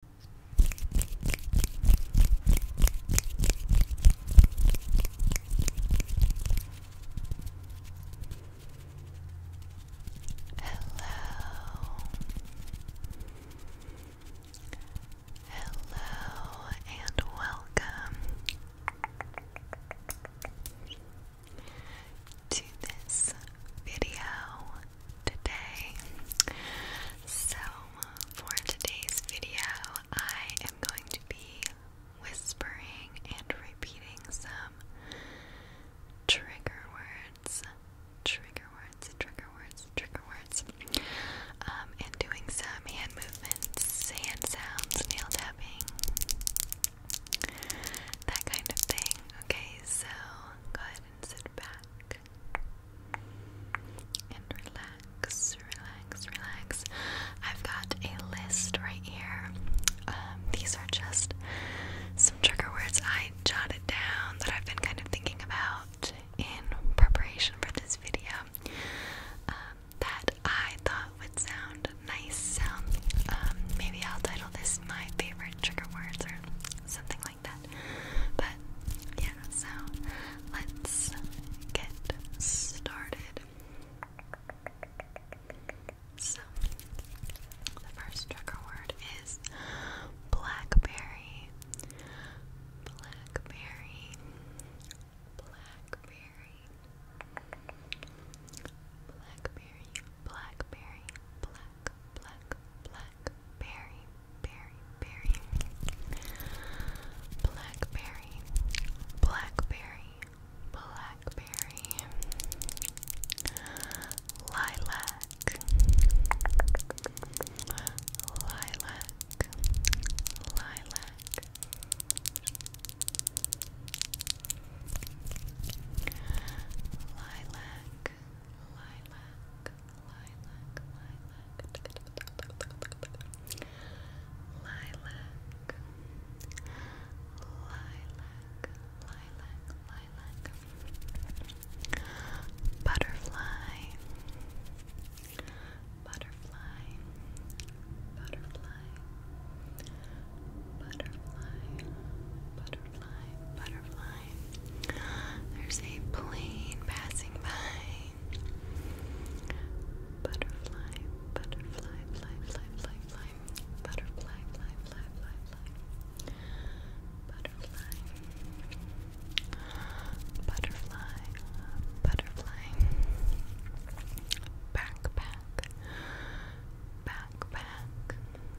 Hello. Hello and welcome to this video today. So, for today's video, I am going to be whispering and repeating some trigger words. Trigger words, trigger words, trigger words. Um, and doing some hand movements, hand sounds, nail tapping, that kind of thing. Okay, so go ahead and sit back, and relax, relax, relax. I've got a list right here. Um, these are just some trigger words I jotted down that I've been kind of thinking about in preparation for this video um, that I thought would sound nice. So um, maybe I'll title this My Favorite Trigger Words or something but yeah, so let's get started. So the first trigger word is Blackberry. Blackberry. Blackberry. Blackberry. Blackberry black, black, black berry, berry, berry, blackberry, blackberry, blackberry, lilac, lilac, lilac. Lilac, lilac, lilac, lilac, lilac, lilac, lilac, lilac, butterfly, butterfly, butterfly, butterfly, butterfly butterfly, There's a plane passing by. Butterfly, butterfly, fly, fly, fly, fly. Butterfly, fly, fly, fly, fly. Butterfly. Butterfly, butterfly. Backpack, backpack,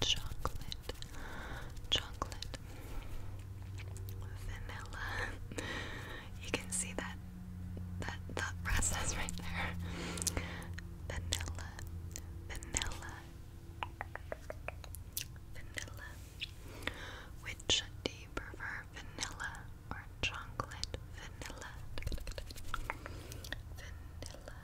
chocolate, chocolate, vanilla. You can see that that thought process right there. Vanilla, vanilla, vanilla. Which do you prefer, vanilla or chocolate? Vanilla, vanilla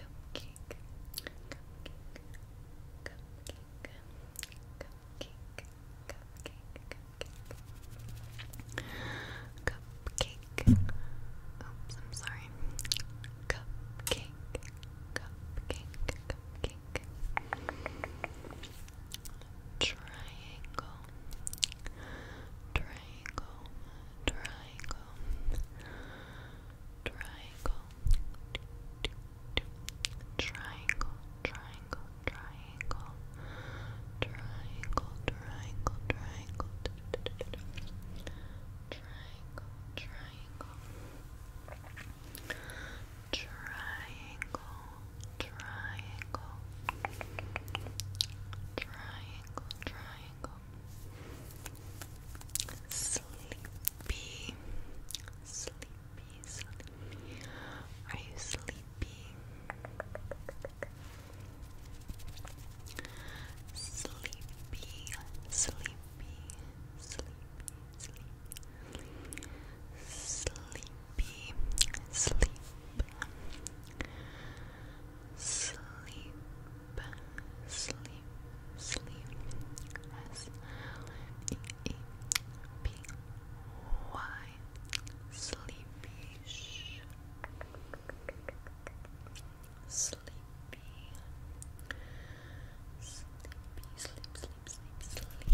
cupcake, oops, I'm sorry, cupcake, cupcake, cupcake, triangle, triangle, triangle, triangle, triangle, triangle, triangle, triangle, triangle, triangle, triangle, triangle. Triangle, triangle, triangle, triangle, triangle, Sleepy, sleepy, sleepy. Are you sleepy? Sleepy, sleepy, sleepy, sleepy. Sleepy, sleep, sleep, sleep, sleep, S L E E P Y, sleepy, sleepy, sleepy, sleep, sleep, sleep, sleepy.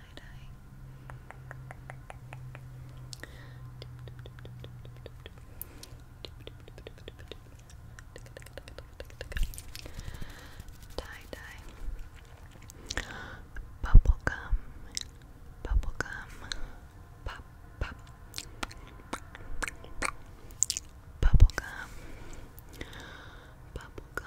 side eye. Tie dye, bubble gum, bubble gum, pop pop, bubble gum, bubble gum,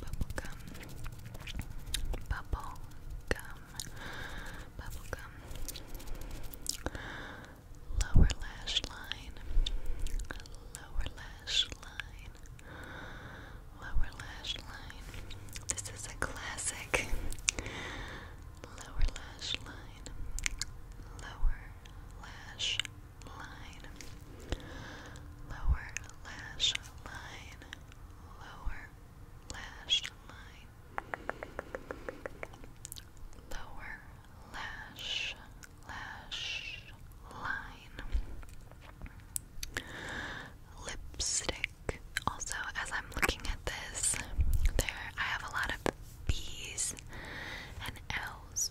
Bubblegum. Bubblegum. Bubblegum. Lower lash line. Lower lash line. Lower lash line. This is a classic. Lower lash line. Lower lash line, lower lash line, lower lash line, lower lash, lash line, lipstick. Also, as I'm looking at this, there I have a lot of B's and L's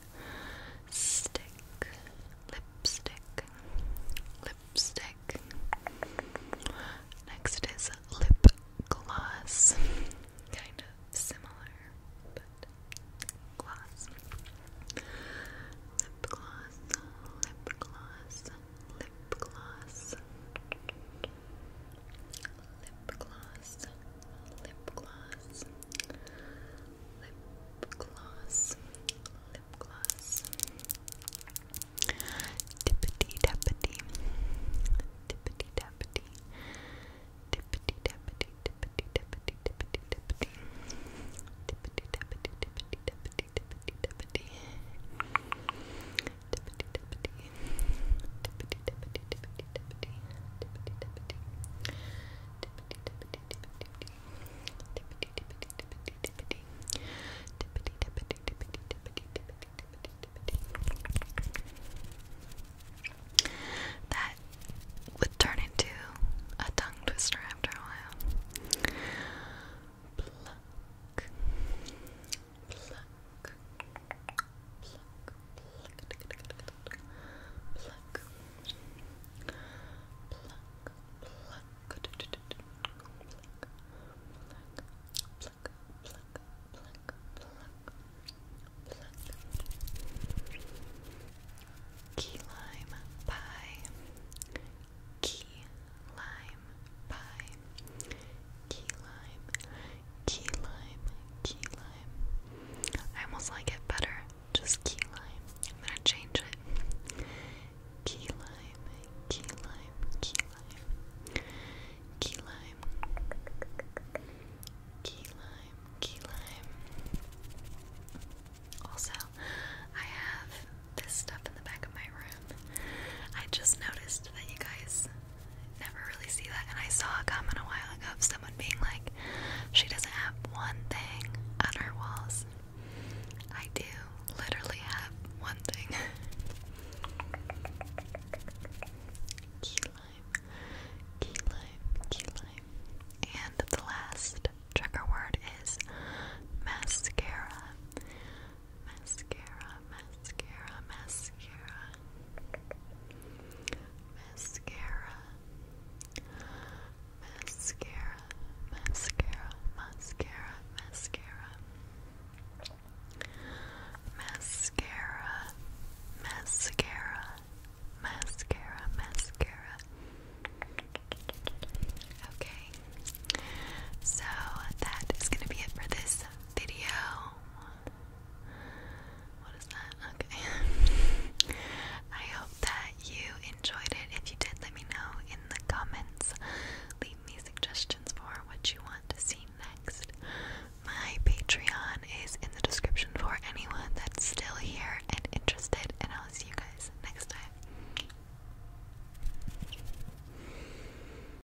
stick, lipstick, lipstick. Next is lip gloss, kind of similar, but gloss. Lip gloss, lip gloss, lip gloss. Lip gloss, lip gloss, lip gloss, lip gloss, tippity tappity, tippity tappity, tippity tappity, tippity tappity, tippity tappity, tippity tappity, tippity tappity, tippity tappity, tippity tappity, tippity tappity, tippity tappity. That would turn into a tongue twister after a while key lime pie key lime pie key lime Key lime, key lime. I almost like it better, just key lime. I'm gonna change it. Key lime, key lime, key lime. Key lime. Key lime, key lime. Also, I have this stuff in the back of my room. I just noticed that you guys never really see that. And I saw a comment a while ago of someone being like, she doesn't have one thing on her walls. I do literally have one thing. key lime, key lime, key lime. And the last trigger word is mascara. Mascara, mascara, mascara, mascara, mascara, mascara, mascara, mascara, mascara, mascara, mascara, mascara. Okay, so that is going to be it for this video. What is that? Okay. I hope that you enjoyed it. If you did, let me know in the comments. Leave me suggestions for what you want to see next. My Patreon is in the description for anyone that's still here and interested, and I'll see you guys next time.